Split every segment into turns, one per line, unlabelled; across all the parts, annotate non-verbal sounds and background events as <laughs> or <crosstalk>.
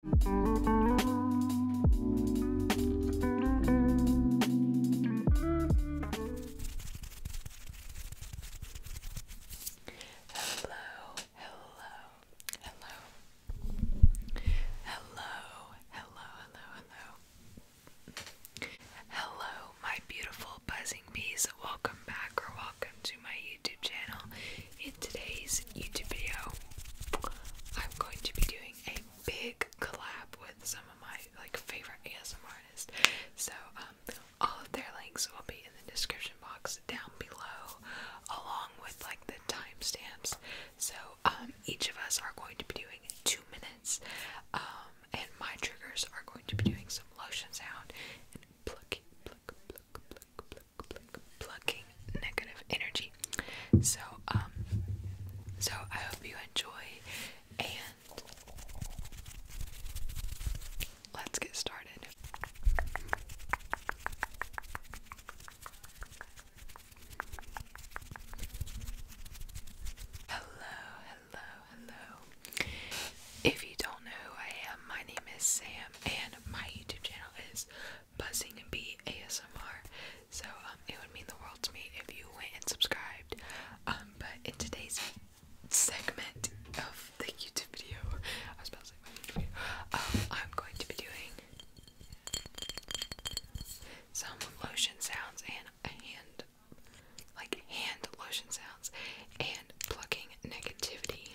Hello, hello, hello. Hello, hello, hello, hello. Hello, my beautiful buzzing bees. Welcome back or welcome to my YouTube channel today's YouTube video, I'm going to be doing a big collab with some of my like favorite ASMR artists. So um, all of their links will be in the description box down below, along with like the timestamps. So um, each of us are going to be doing two minutes, um, and my triggers are going to be doing some lotion sound and plucky, pluck, pluck, plucking negative energy. So, um, so I hope you enjoy, and let's get started. Hello, hello, hello. If you don't know who I am, my name is Sam, and my YouTube channel is buzzing and be ASMR. So um, it would mean the world to me if you went and subscribed. Um, but in today's segment of the YouTube video, I was about to say YouTube video, um, I'm going to be doing some lotion sounds and a hand, like hand lotion sounds and plucking negativity.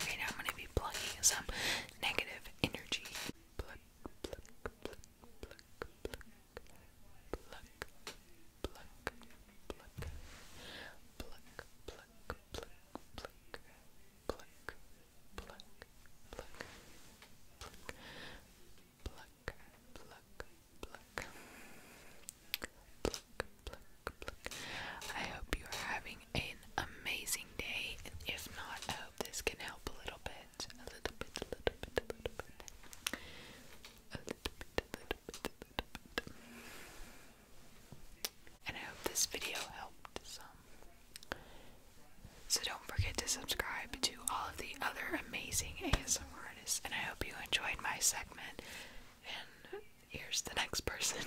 Okay, now I'm going to be plugging some negative energy pluck, pluck, pluck, pluck, pluck, pluck. I hope you are having an amazing day, if not, I hope this can help a little bit, a little bit, a little bit, a little bit, a little bit, a little bit, a little bit. And I hope this video helped some. So don't forget to subscribe to all of the other amazing ASMR and I hope you enjoyed my segment. And here's the next person.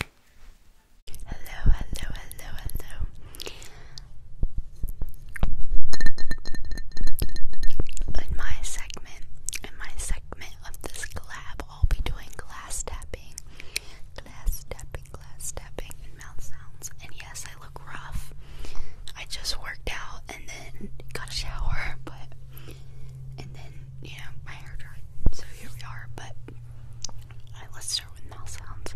Hello, hello, hello, hello.
In my segment, in my segment of this collab, I'll be doing glass tapping, glass tapping, glass tapping, and mouth sounds. And yes, I look
rough. I just worked out and then got a shower, but and then you know my hair dried, so here we are. But right, let's start with mouth sounds.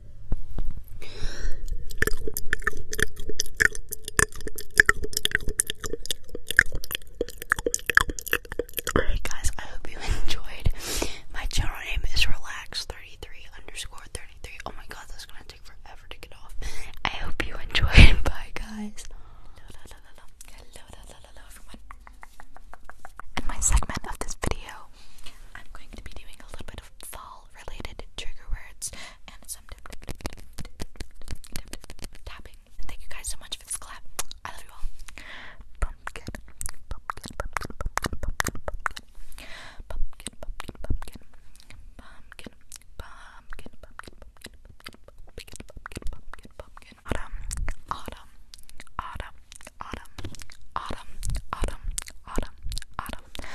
Alright guys, I hope you enjoyed. My channel name is relax33 underscore 33. Oh my god, that's gonna take forever to get off. I hope you enjoyed. Bye guys. In my segment of this video, I'm going to be doing a little bit of fall related trigger words and some tapping. thank you guys so much for this clap. I love you all. pumpkin, pumpkin, pumpkin, pumpkin, pumpkin, pumpkin, pumpkin, pumpkin, pumpkin, autumn, autumn, autumn, autumn, autumn, autumn, autumn, autumn,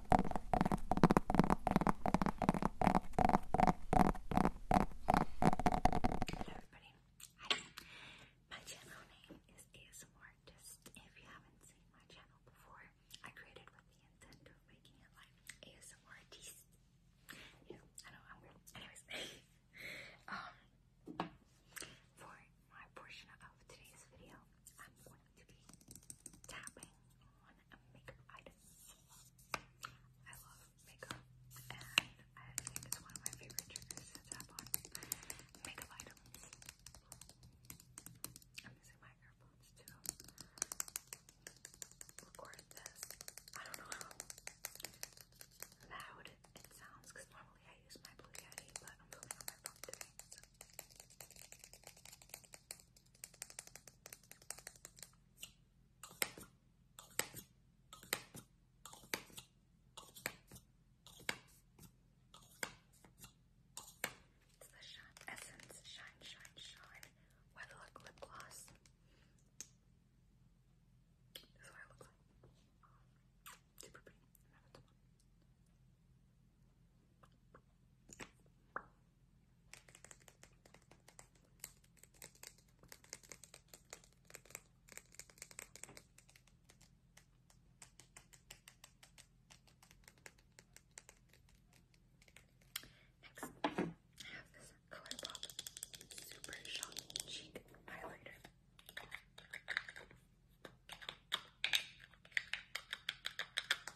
Hello everybody. Hi. My channel name is ASMR Artist. If you haven't seen my channel before, <laughs> I created with the intent of making it like ASMR Artist. Yeah, know I'm Anyways, um for my portion of today's video, I'm going going to be tapping on a makeup item. I love makeup, and I think it's one of my favorite triggers to tap on makeup items. I'm using my earbuds to I don't know how loud it sounds because normally I use my Blue Yeti, but I'm filming on my phone today. It's the Shine Essence Shine Shine Shine Weatherlock Lip Gloss. This is what it looks like. Super pretty. Another one. Next, I have this Color Super Shock Cheek Highlighter.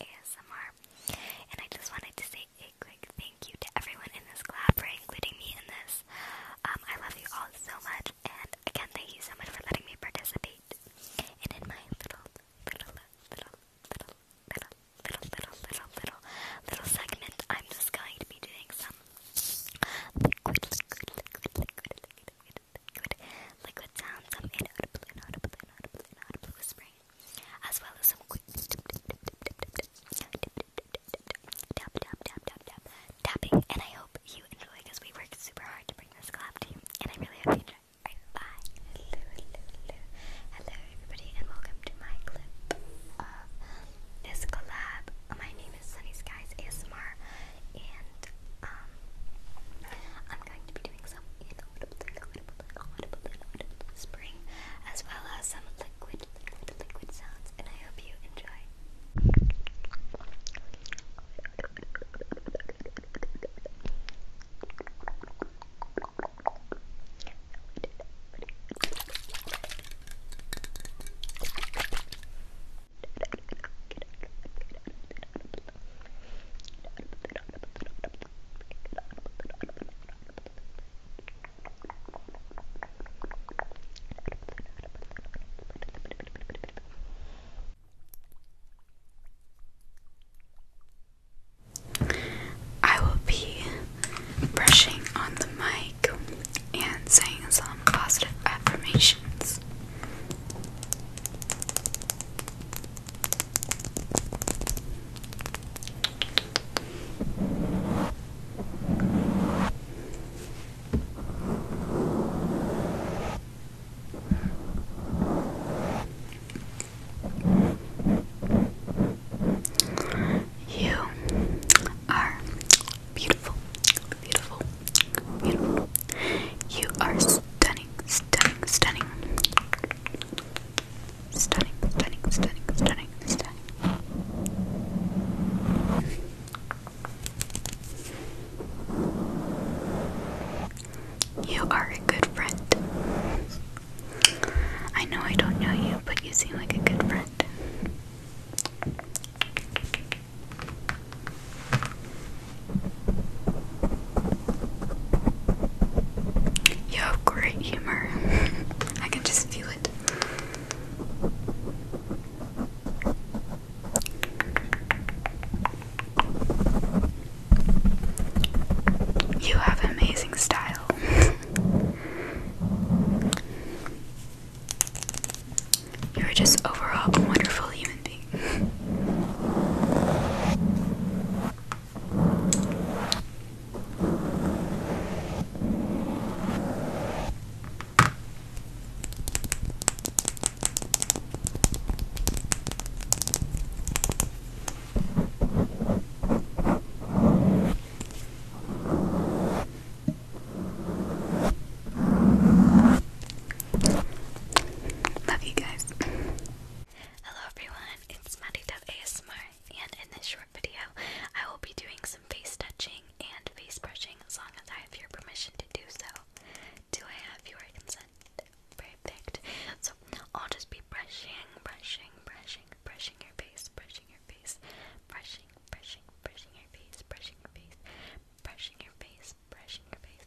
ASMR. And I just wanted to say a quick thank you to everyone in this collab for including me in this. Um, I love you all so much, and again, thank you so much for letting me participate. And in my little, little, little, little, little, little, little, little, little, little segment, I'm just going to be doing some liquid, liquid, liquid, liquid, liquid, liquid, liquid, sounds, some inaudible, inaudible, inaudible, inaudible whispering, as well as some tapping. And I hope you enjoy we worked super hard to bring this collab to you, and I really hope you enjoy. bye. Hello, hello, hello, hello, everybody, and welcome to my clip of this collab. My name is Sunny Skies ASMR, and um. I'm going to be doing some spring, as well as some liquid, liquid, liquid sounds, and I hope you enjoy. I will be brushing on the mic and saying some positive affirmations. You are beautiful, beautiful, beautiful. You are stunning, stunning, stunning, stunning, stunning, stunning, stunning, You are a good friend. I know I don't know you, but you seem like a good friend. You have great humor. <laughs> I can just feel it. You have amazing style. <laughs> You're just overall a wonderful human anything. Love you guys. Hello everyone, it's MaddieDevASMR and in this short video I will be doing some face touching and face brushing as long as I have your permission to do so. Do I have your consent? Perfect. So I'll just be brushing, brushing, brushing, brushing your face, brushing your face, brushing, brushing, brushing your face, brushing your face, brushing your face, brushing your face,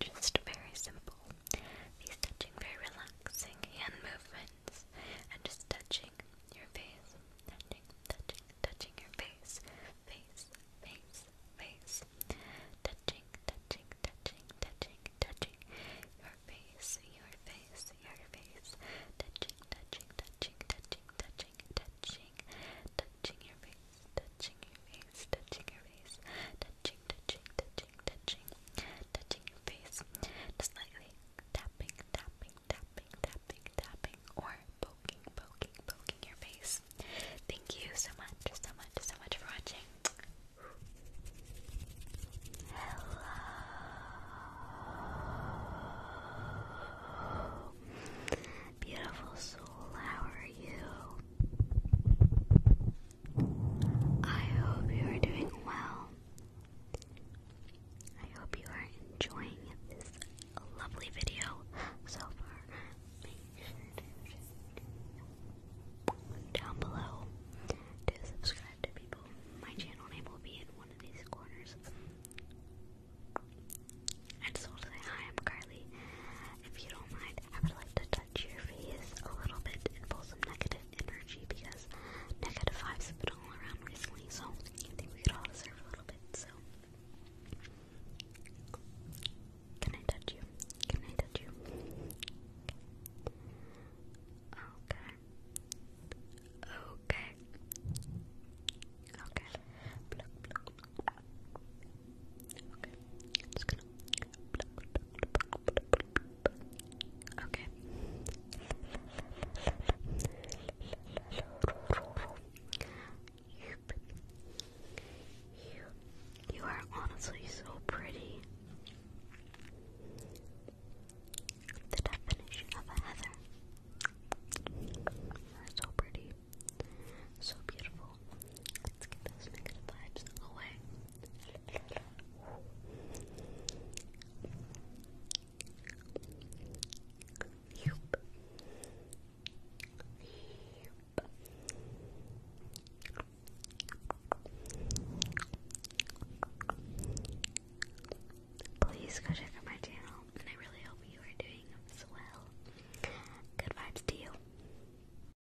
just very simple. These touching, very relaxing hand movements, and just touching your face, touching, touching, touching your face, face, face, face, touching, touching, touching, touching, touching your face, your face, your face, touching, touching, touching, touching, touching, touching, touching your face, touching your face, touching your face, touching, touching, touching, touching, touching your face, just lightly tapping, tapping, tapping, tapping, tapping, or poking, poking, poking your face. Thank you so much, so much, so much for watching. Hello. Beautiful soul, how are you? I hope you are doing well. I hope you are enjoying this lovely video so far. down below to subscribe My channel name will be in one of these corners. I just want to say hi, I'm Carly. If you don't mind, I would like to touch your face a little bit and pull some negative energy because negative vibes have been all around recently, so I think we could all deserve a little bit, so. Can I touch you? Can I touch you? Okay. Okay. Okay. Okay. You, you, are honestly so pretty. The definition of a heather. You're so pretty. So beautiful. Let's get those negative vibes away. Please go check out my channel, and I really hope you are doing well. Good vibes to you.